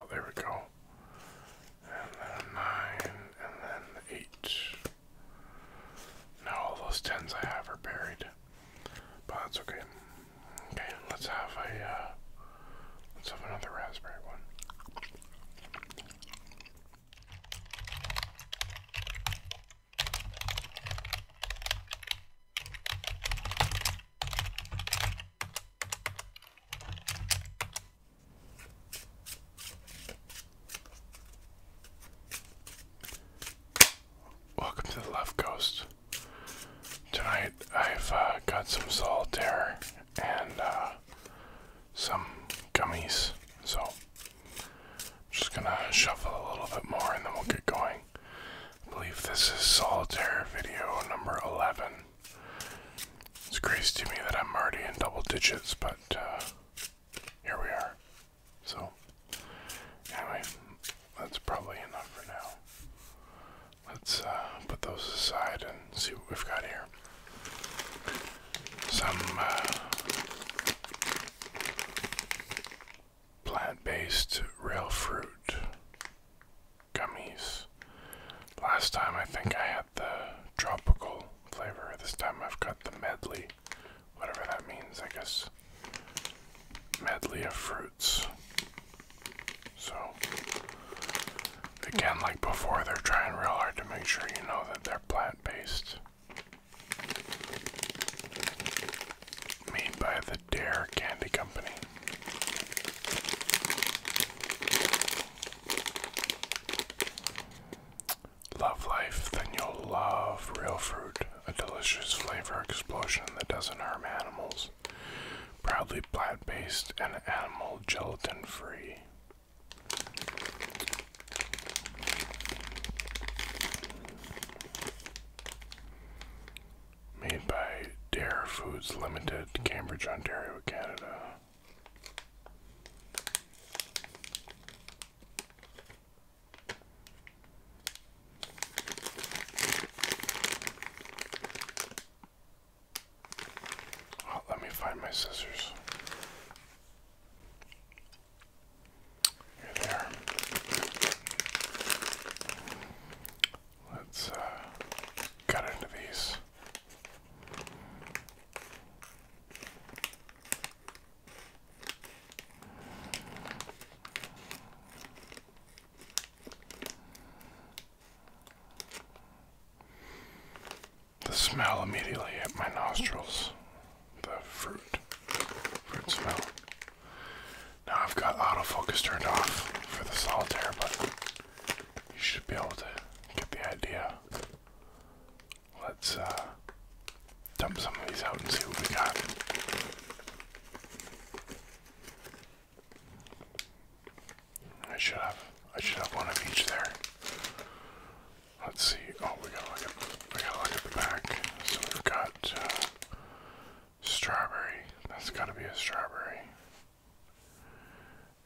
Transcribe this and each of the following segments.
Oh, there we go. And then nine, and then eight. Now all those tens I have are buried, but that's okay. Okay, let's have a uh, let's have another raspberry one. Welcome to the Left Coast. Tonight I've uh, got some solitaire and uh, some gummies, so I'm just gonna shuffle a little bit more and then we'll get going. I believe this is solitaire video number 11. It's crazy to me that I'm already in double digits, but uh, here we are. So, anyway, that's probably enough for now. Let's uh, put those aside and see what we've got here. Some uh, plant based real fruit gummies. Last time I think I had the tropical flavor. This time I've got the medley, whatever that means, I guess. Medley of fruits. So, again, like before, they're trying real hard to make sure you know that they're plant based. Made by the Dare Candy Company. Love life, then you'll love real fruit, a delicious flavor explosion that doesn't harm animals. Proudly plant based and animal gelatin free. Made by Dare Foods Limited, Cambridge, Ontario, Canada. Oh, let me find my scissors. Here they are. Let's uh, cut into these. The smell immediately hit my nostrils. The fruit. Fruit smell. Now I've got autofocus turned off for the solitaire, but you should be able to get the idea. Let's uh, dump some of these out and see what we got. I should have I should have one of each there. Let's see. Oh, we gotta look at we gotta look at the back. So we've got uh, strawberry. That's gotta be a strawberry.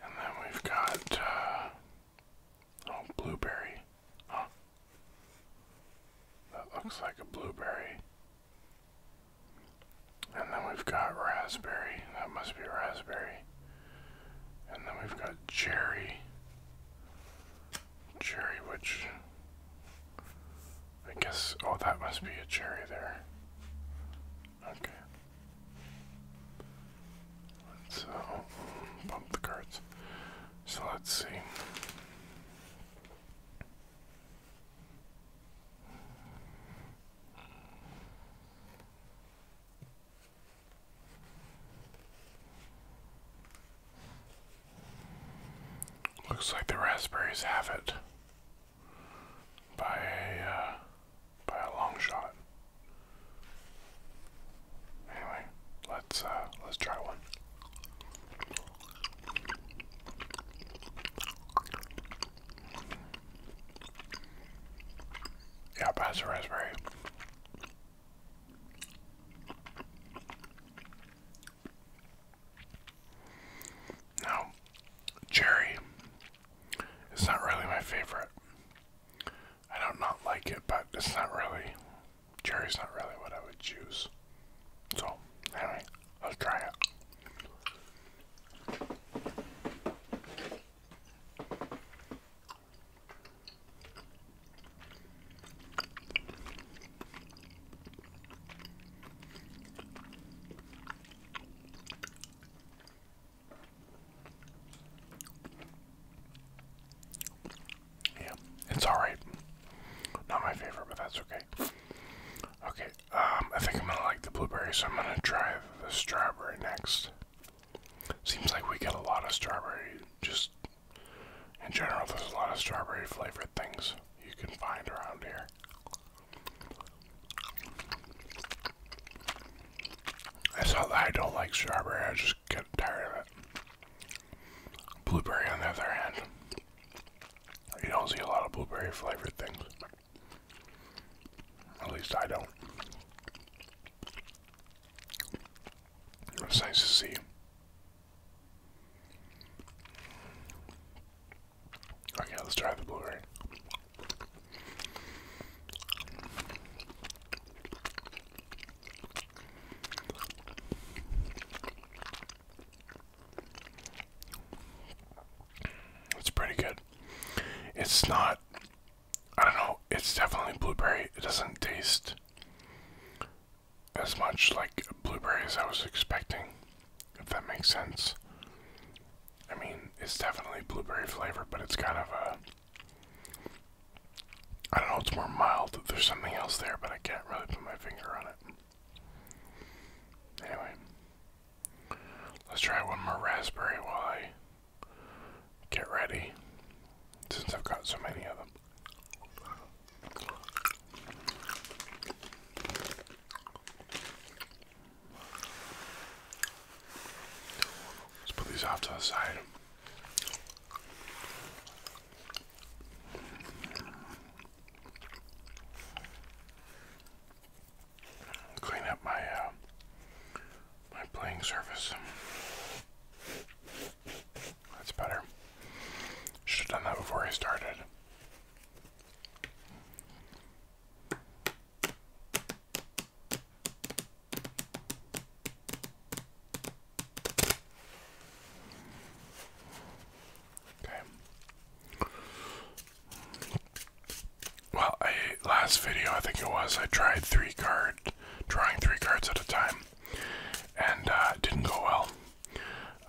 And then we've got, uh, oh, blueberry. Huh. That looks like a blueberry. And then we've got raspberry. That must be raspberry. And then we've got cherry. Cherry, which I guess, oh, that must be a cherry there. Okay. Let's uh, the cards. So let's see. Looks like the raspberries have it by a uh, by a long shot. Anyway, let's uh, let's try one. Yeah, pass the raspberry. Now, cherry it's not really my favorite. I don't not like it, but it's not really. Cherry's not really what I would choose. So, anyway, let's try it. Yeah, it's alright. Not my favorite, but that's okay. Okay, um, I think I'm gonna like the blueberry, so I'm gonna try the strawberry next. Seems like we get a lot of strawberry, just in general, there's a lot of strawberry flavored things you can find around here. It's not that I don't like strawberry, I just get tired of it. Blueberry, on the other hand, you don't see a lot of blueberry flavored things. At least I don't. It's nice to see. Okay, let's try the blueberry. It's pretty good. It's not, I don't know, it's definitely blueberry. It doesn't taste as much like blueberry as I was expecting if that makes sense. I mean, it's definitely blueberry flavor, but it's kind of a. I don't know, it's more mild. There's something else there, but I can't really put my finger on it. Anyway, let's try one more raspberry while I get ready, since I've got so many of them. Let's put these off to the side. Clean up my uh, my playing surface. That's better. Should have done that before I started. Okay. Well, I last video I think it was I tried three card drawing three cards at a time, and uh, didn't go well.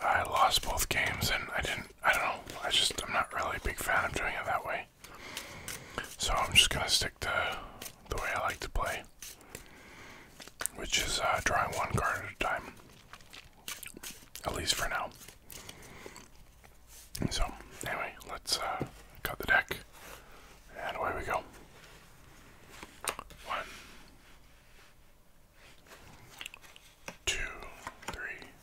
I lost both games, and I didn't I don't know. I just I'm not really a big fan of doing it that way. So I'm just gonna stick to the way I like to play, which is uh, drawing one card at a time, at least for now. So anyway, let's uh, cut the deck, and away we go. One, two, three,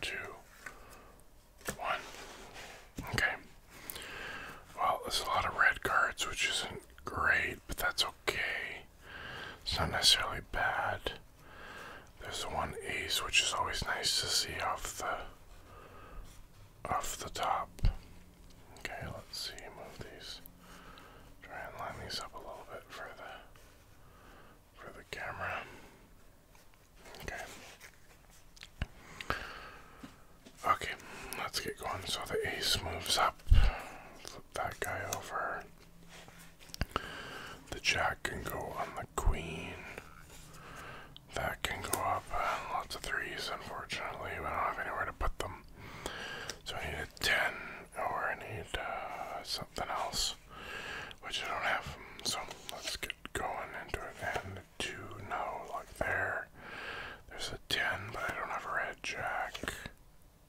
two, one. Okay. Well, there's a lot of red cards, which isn't great, but that's okay. It's not necessarily bad. There's one ace, which is always nice to see off the off the top. Okay, let's see. Move these. Try and line these up a little bit further for the camera. Okay. Okay, let's get going. So the ace moves up. Flip that guy over. The jack can go on the queen. That can go up. Uh, lots of threes, unfortunately. We don't have anywhere to put them. So I need a 10 or I need uh, something else, which I don't have. So let's get going into it. And two, no, like there. There's a 10, but I don't have a red jack.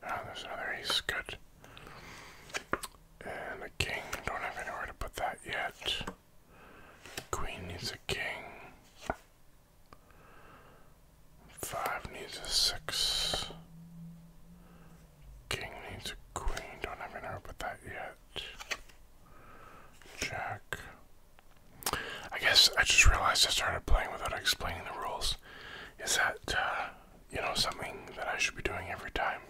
Ah, there's another ace. Good. And a king. Don't have anywhere to put that yet. Queen needs a king. Five needs a six. King needs a queen. Don't have an help with that yet. Jack. I guess I just realized I started playing without explaining the rules. Is that, uh, you know, something that I should be doing every time?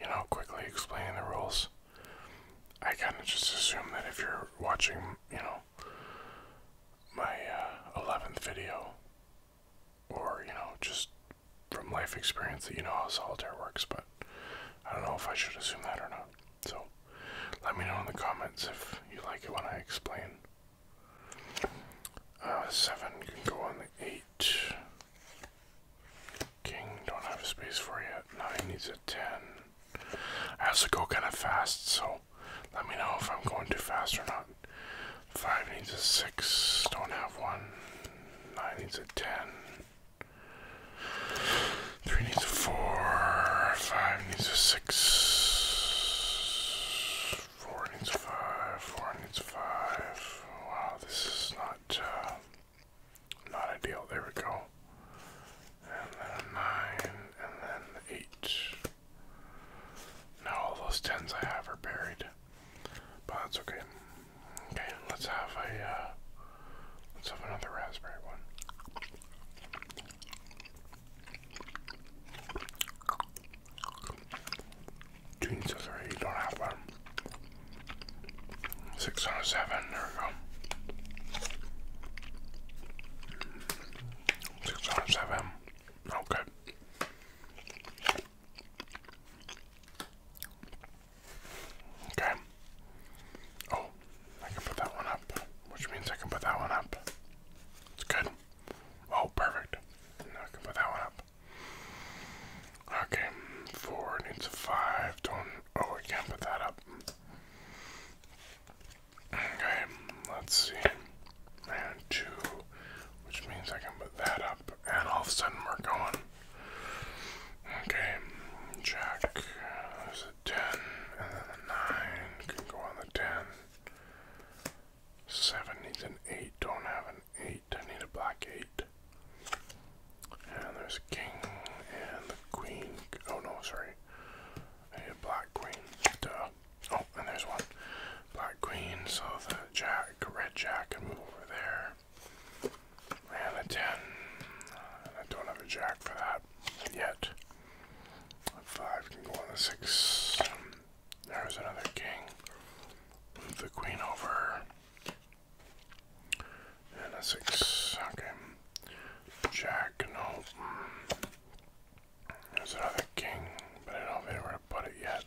You know, quickly explaining the rules. I kind of just assume that if you're watching, you know, my 11th uh, video, or you know just from life experience that you know how solitaire works but i don't know if i should assume that or not so let me know in the comments if you like it when i explain uh, seven can go on the eight king don't have a space for yet nine needs a ten i to go kind of fast so let me know if i'm going too fast or not Five needs a six. Don't have one. Nine needs a ten. Three needs a four. Five needs a six. Four needs five. Four needs a five. Wow, this is not uh, not ideal. There we go. And then nine, and then eight. Now all those tens I have are buried but that's okay. Okay, let's have a uh, let's have another raspberry one. June don't have one. Six seven, there we go. Six seven. Oh Okay. Oh, I can put that one up, which means I can put that one up. It's good. Oh, perfect. I can put that one up. Okay, four needs a five. Don't. Oh, I can put that up. Okay, let's see. And two, which means I can put that up, and all of a sudden we're going. Okay, Jack. There's uh, a 10, and then the 9 can go on the 10. 7 needs an 8, don't have an 8, I need a black 8. And there's a king and the queen. Oh no, sorry. a black queen. Duh. Oh, and there's one. Black queen, so the jack, red jack can move over there. And a 10. Uh, I don't have a jack for that yet. A 5 can go on the 6. There's another king. Move the queen over. And a 6. Okay. Jack, no. There's another king, but it'll be. know have it yet.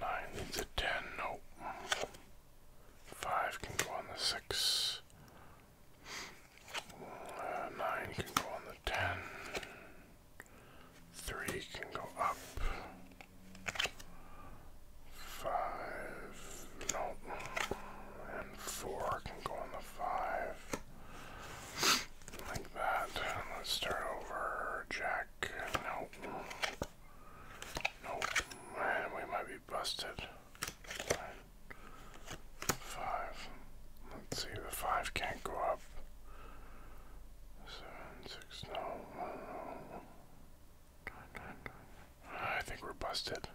Nine needs a ten. Nope. Five can go on the six. Uh, nine can go on the ten. Three can go up. Five. Nope. And four can go on the five. Like that. Let's start over. Jack. Nope. Nope. Man, we might be busted. 5 Five. Let's see, the five can't go up. Seven, six, no. I think we're busted.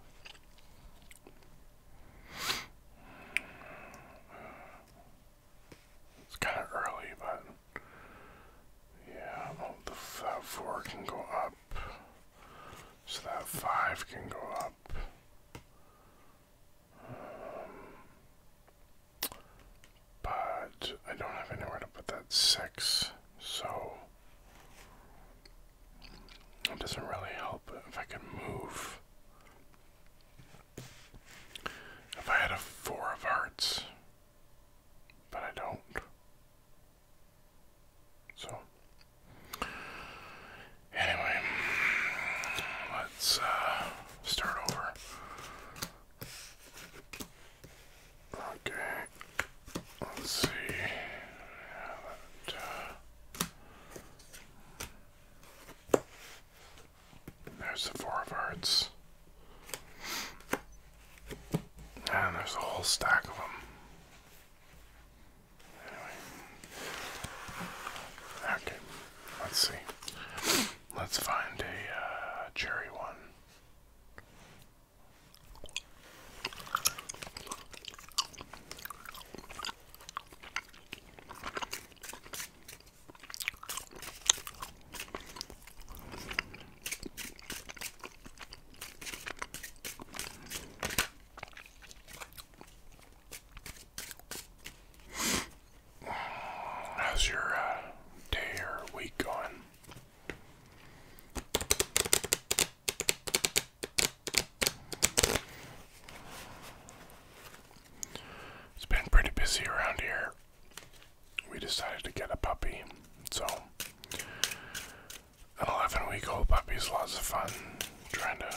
It's kind of early, but yeah, well, the, that 4 can go up. So that 5 can go up. Um, but I don't have anywhere to put that 6, so it doesn't really help if I can move if I had a four of hearts, but I don't. So, anyway, let's uh, start over. Okay, let's see. There's the Four of Hearts. And there's a whole stack of them. Anyway. Okay, let's see. Let's find a uh, cherry one. How's your uh, day or week going? It's been pretty busy around here we decided to get a puppy. So, an 11 week old puppy is lots of fun trying to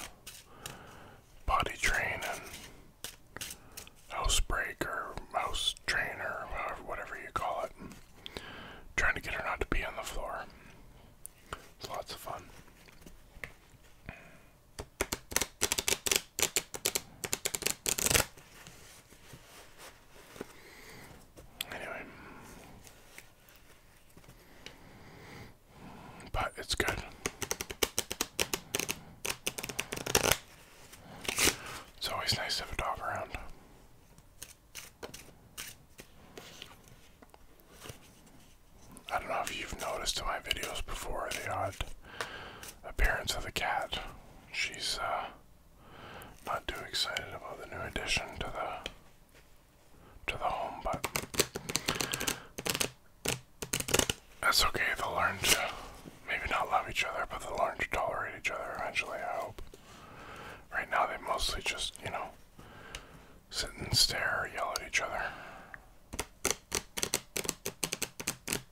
body train and house break or house train whatever you call it. trying to get her not to be on the floor. It's lots of fun. Anyway. But it's good. It's always nice to have a dog around. I don't know if you've noticed in my videos before the odd appearance of the cat. She's uh, not too excited about the new addition to the to the home, but that's okay. They'll learn to maybe not love each other, but they'll learn to tolerate each other eventually. I hope. Right now, they mostly just you know sit and stare, yell at each other.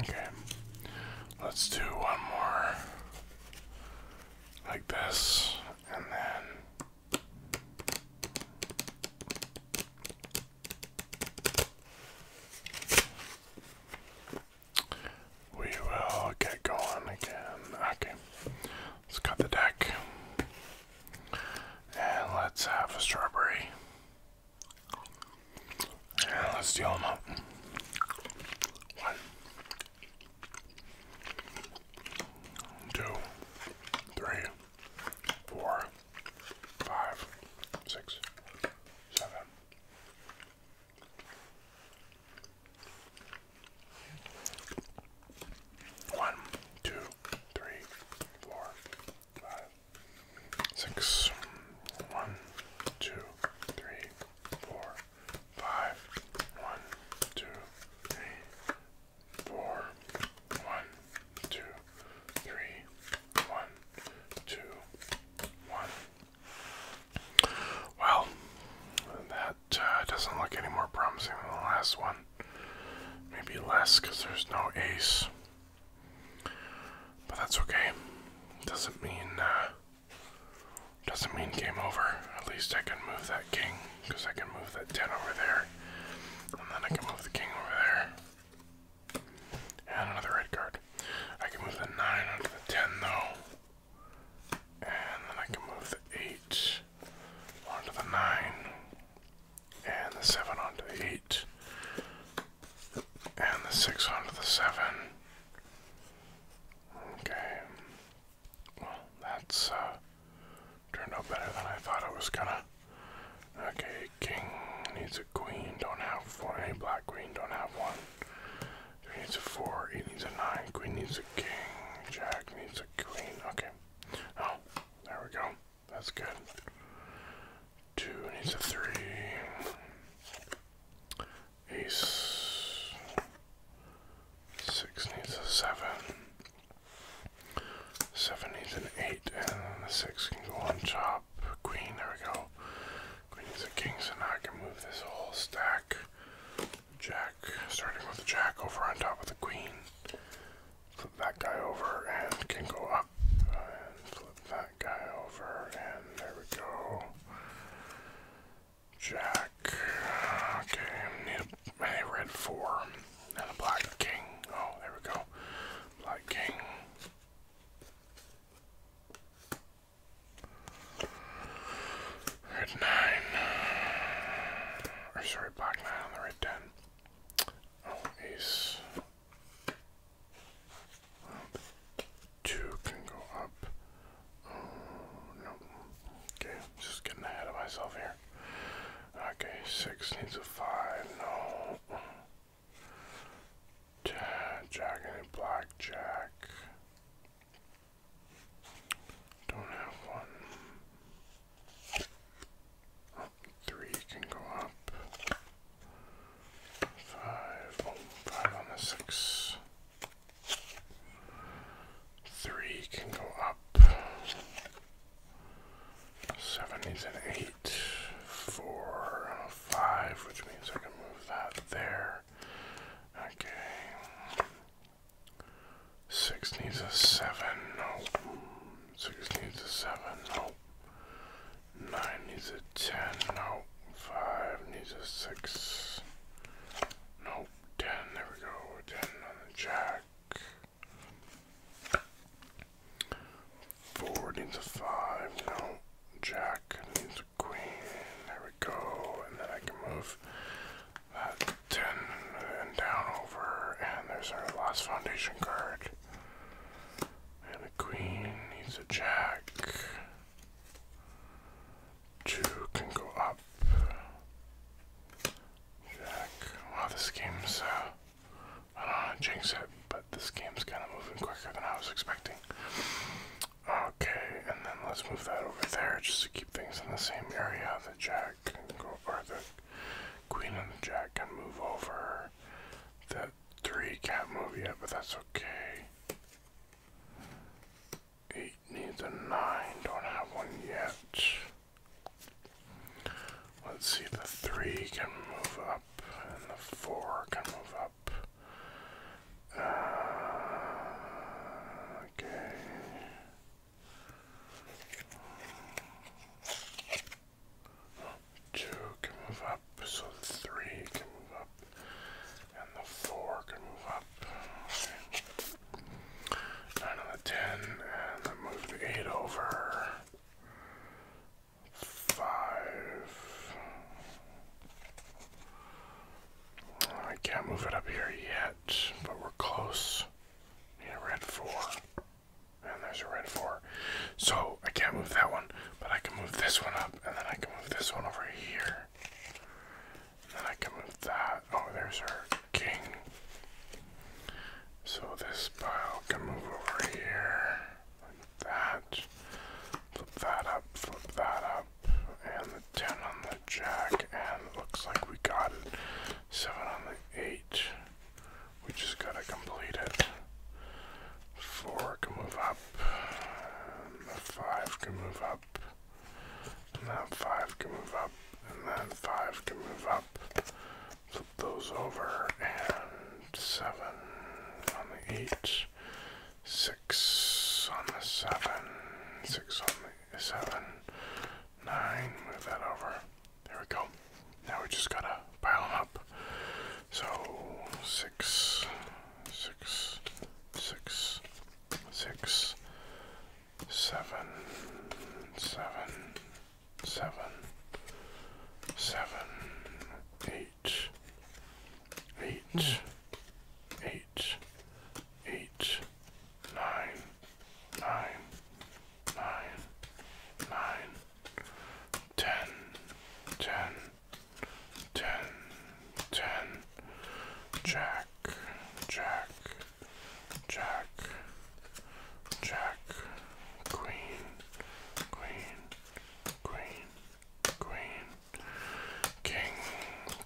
Okay, let's do one more like this, and then we will get going again. Okay. Let's cut the deck. And let's have a strawberry. And let's deal them up. One. One, two, three, four, five, six. One, two, three, four, five. One, two, three, four. One, two, three. One, two, one. Well, that it uh, doesn't look any more promising than the last one. Maybe less because there's no ace. But that's okay. Doesn't mean uh, doesn't mean game over. At least I can move that king because I can move that ten over there, and then I can move the king over there. And another red card. I can move the nine under the ten though. And then I can move the 8 onto the 9. And the 7 onto the 8. And the 6 onto the 7. Okay. Well, that's uh, turned out better than I thought it was gonna. Okay, king needs a queen, don't have one. Any black queen, don't have one. Three needs a four, eight needs a nine, queen needs a king, jack needs a queen. Okay. Oh, there we go. That's good. Two needs a three. Ace. Six needs a seven. Seven needs an eight, and the six can go on top. Queen, there we go. Queen needs a king, so now I can move this whole stack Jack, starting with the jack over on top of the queen. Flip that guy over and can go up. Uh, and flip that guy over, and there we go. Jack. Okay, I need a, I a red four and a black king. Oh, there we go. Black king. Red 9. Or sorry, black 9 on the red 10. Oh, ace. Two can go up. Oh, no. Okay, I'm just getting ahead of myself here. Okay, six needs a five. No. Jack, and blackjack. Don't have one. Three can go up. Oh, five. on the six. Three can go up. Seven needs an eight. Four and a five, which means I can move that there. Okay. Six needs a seven, no. Six needs a seven, no. Nine needs a ten, no. Five needs a six. Nope, ten, there we go, ten on the jack. Four needs a five, no. Jack needs a queen, there we go, and then I can move that 10 and down over, and there's our last foundation card. And the queen needs a jack. Two can go up. Jack. Wow, this game's, uh, I don't want to jinx it, but this game's kind of moving quicker than I was expecting. Okay, and then let's move that over there just to keep things in the same area. The jack can go, or the queen and the jack can move over. That three can't move yet, but that's okay. Eight needs a nine, don't have one yet. Let's see, the three can move up, and the four can move up okay. Two can move up, so three can move up, and the four can move up. Nine on the ten, and then move the eight over. Five. I can't move it up here yet, but we're close. Need a red four. And there's a red four. So I can't move that one, but I can move this one up, and then I can move this one over here. And then I can move that. Oh, there's her king. So this pile can move over here. Like that. Flip that up, flip that up and the 10 on the jack and looks like we got it. 7 on the 8. We just gotta complete it. 4 can move up. the 5 can move up. And 5 can move up. And then 5 can move up. Flip those over and 7 on the 8 six on the seven, six on the seven, nine, move that over. There we go. Now we just gotta pile them up. So six. Six. Six. Seven. Seven. Seven. Seven. Eight. Eight. Eight eight, nine, nine, nine, nine, ten, ten, ten, ten, jack, jack, jack, jack, queen, queen, queen, queen, King,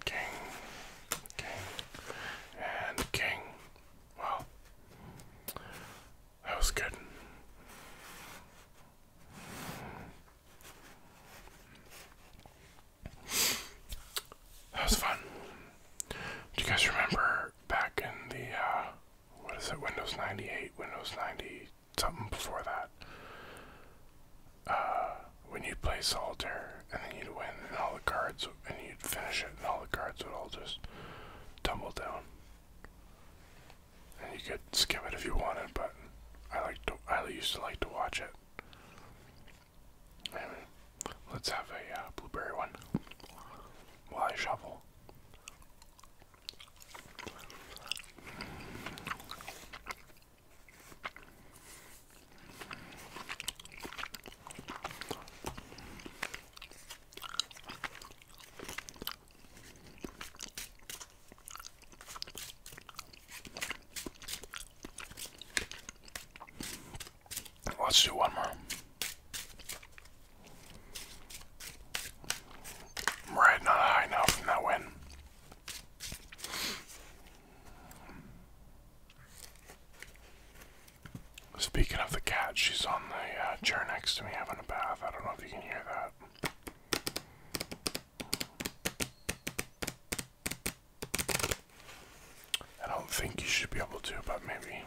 king, king, and king. Wow. That was good. That was fun. Do you guys remember back in the, uh, what is it, Windows 98, Windows 90, something before that? uh, when you play solitaire and then you'd win and all the cards and you'd finish it and all the cards would all just tumble down. And you could skip it if you wanted, but I like to I used to like to watch it. let's have a uh, blueberry one while I shovel. Let's do one more. I'm riding on now from Speaking of the cat, she's on the uh, chair next to me having a bath. I don't know if you can hear that. I don't think you should be able to, but maybe.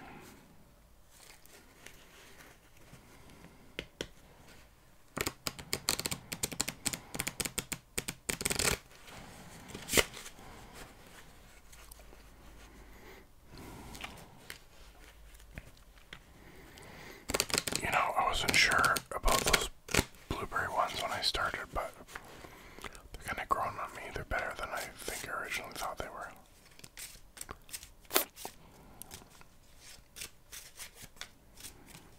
You know, I wasn't sure about those blueberry ones when I started, but they're kind of growing on me. They're better than I think I originally thought they were.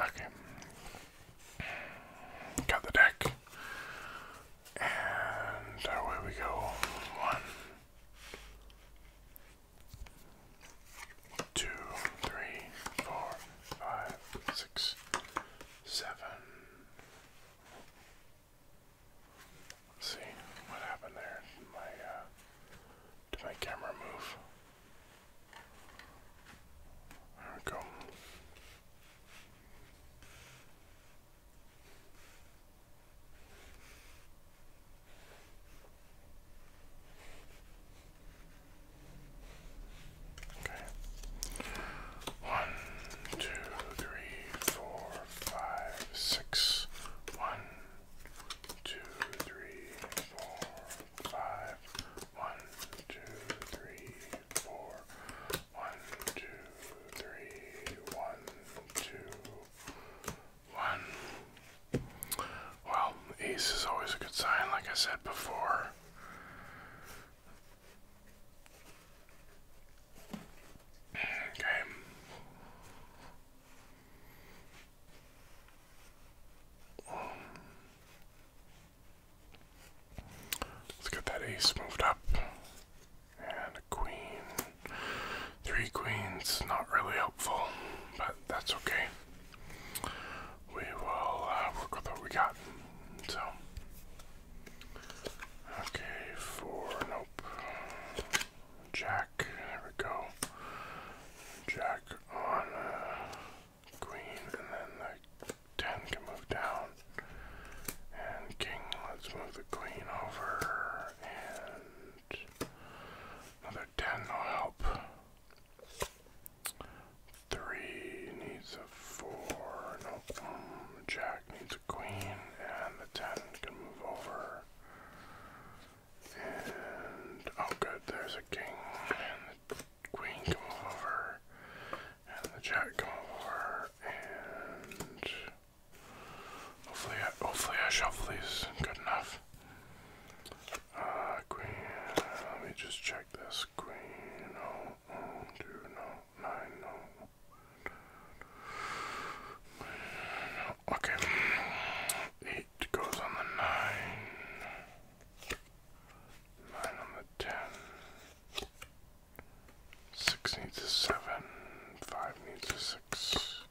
Okay. Got the deck. And away we go. One, Two, three, four, five, six, seven. Let's see what happened there. Did my uh, did my camera move? There we go. Okay. One, two, three, four, five, six. One, two, three, four, five. One, two, three, four. One, two, three, one, two, one. Well, ace is always a good sign, like I said before. Okay. Let's get that ace moved up. And a queen. Three queens, not really helpful, but that's okay. We will uh, work with what we got. So, okay, four, nope. Jack, there we go. Jack on uh, queen, and then the 10 can move down. And king, let's move the queen over. And another 10 will help. Three needs a four. Nope. Um, jack needs a queen. And the 10 can move over. And, oh good, there's a king. And the queen can move over. And the jack can move over. And Hopefully, I, hopefully I shuffle these good enough. Uh, queen. Let me just check this. Queen. No. Mm, no. Nine. no. Okay. Eight goes on the nine. Nine on the ten. Six needs a seven. Five needs a six.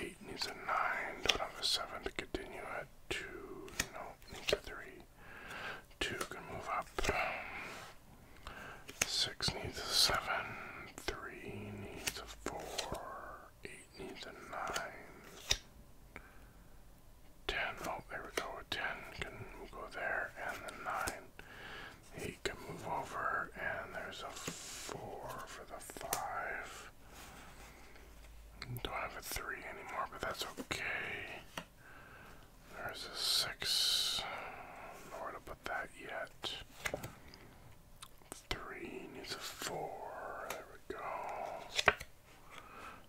Eight needs a nine. Don't have a seven to continue at two. No, needs a three. Two can move up. Six needs a seven. Three needs a four. Eight needs a nine. Ten. Oh, there we go. Ten can go there, and the nine. He can move over, and there's a four for the five. Don't have a three anymore, but that's okay. There's a six. Nowhere to put that yet. Three needs a four. There we go.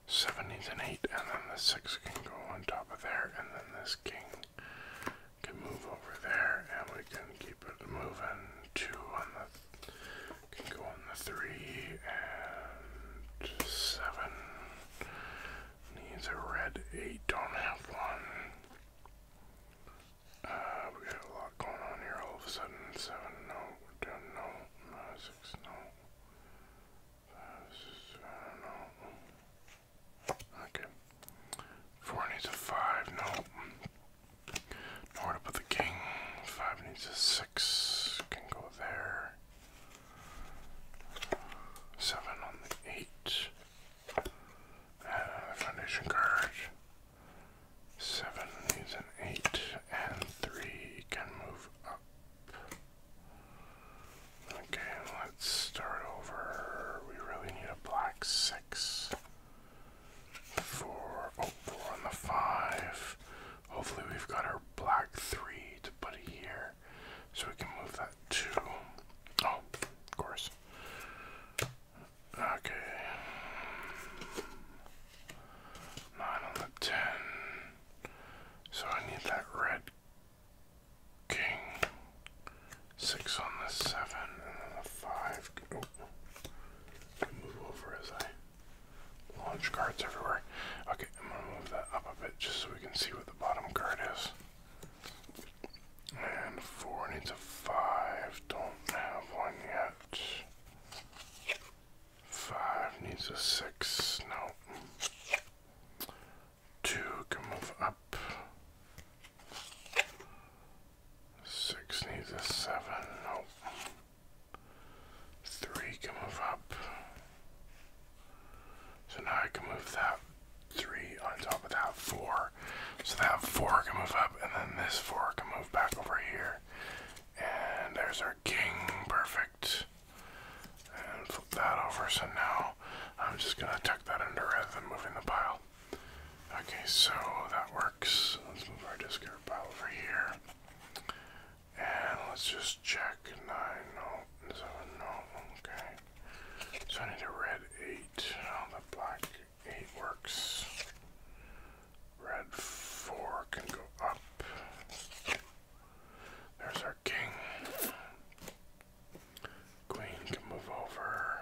Seven needs an eight, and then the six can go on top of there, and then this king can move over there and we can keep it moving. Two on the can go on the three and seven needs a red eight, don't have one. Uh, we got a lot going on here all of a sudden. Seven, no, ten, no, uh, six, no, five, uh, no, Okay. Four needs a five. No. Nowhere to put the king. Five needs a six. Can go there. Seven on the eight. Uh, foundation card. Seven needs an eight, and three can move up. Okay, let's start over. We really need a black six. Four, oh, four on the five. Hopefully, we've got our black three to put here, so we can move that two. Oh, of course. Okay. Nine on the ten. So I need that red King. Six on the seven and then the five. Oh. move over as I launch cards everywhere. Okay, I'm gonna move that up a bit just so we can see what the bottom card is. And four needs a five. Don't have one yet. Five needs a six. No two can move up. Six needs a seven. Nope. Three can move up. So now I can move that three on top of that four. So that four can move up, and then this four can move back over here. And there's our king. Perfect and flip that over. So now I'm just gonna tuck that under rather than moving the pile. Okay, so that works. Let's move our discard pile over here. And let's just check nine, no, seven, no, okay. So I need a red eight. Oh, the black eight works. Red four can go up. There's our king. Queen can move over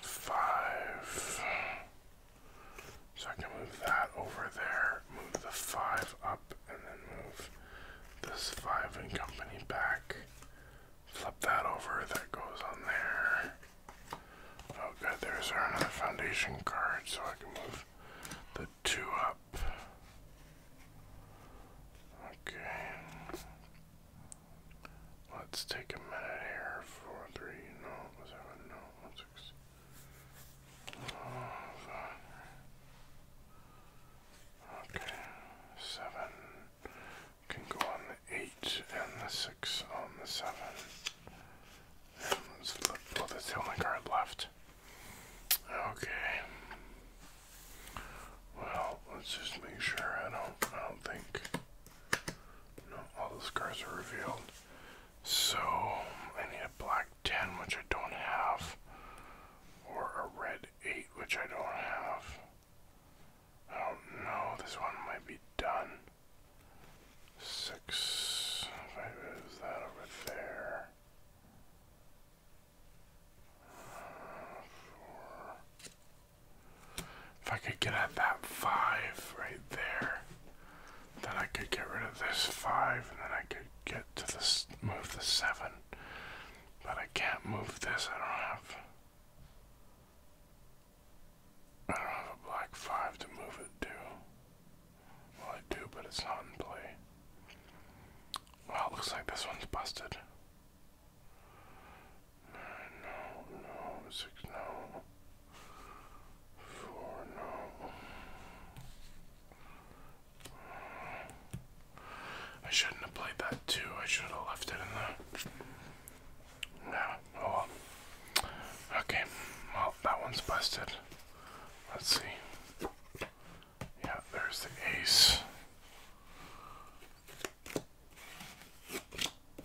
five. So I can move that over there, move the five up, and then move this five and company back. Flip that over, that goes on there. Oh good, there's our another foundation card, so I can move the two up. Okay. Let's take a minute here. Four, three, no, seven, no, one, Okay. Seven can go on the eight and the six on the seven. let's flip. Well, the only card left. Okay. Well, let's just make sure I don't I don't think all the scars are revealed. So I need a black ten which I don't have or a red eight which I don't have. I don't know, this one might be done. Six five is that over there. If I could get at that five right there, then I could get rid of this five, and then I could get to this move the seven. But I can't move this. I don't have. I don't have a black five to move it to. Well, I do, but it's not in play. Well, looks like this one's busted. Nine, no, no, six, no. Four, no. I shouldn't have played that too. I should have left it in there. Yeah, oh Okay, well, that one's busted. Let's see. Yeah, there's the ace.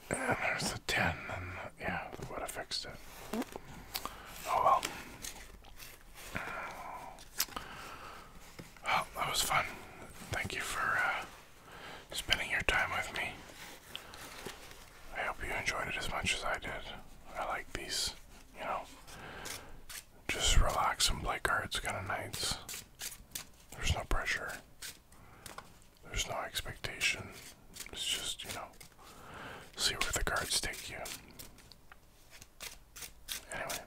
And there's the 10, and yeah, would fixed it. Oh well. Well, oh, that was fun. Thank you for uh, spending your time with me. I hope you enjoyed it as much as I did. I like these, you know, just relax and play cards kind of nights. There's no pressure. There's no expectation. It's just, you know, see where the cards take you. Anyway.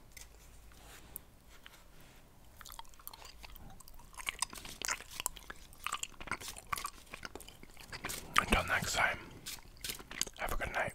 Until next time, have a good night.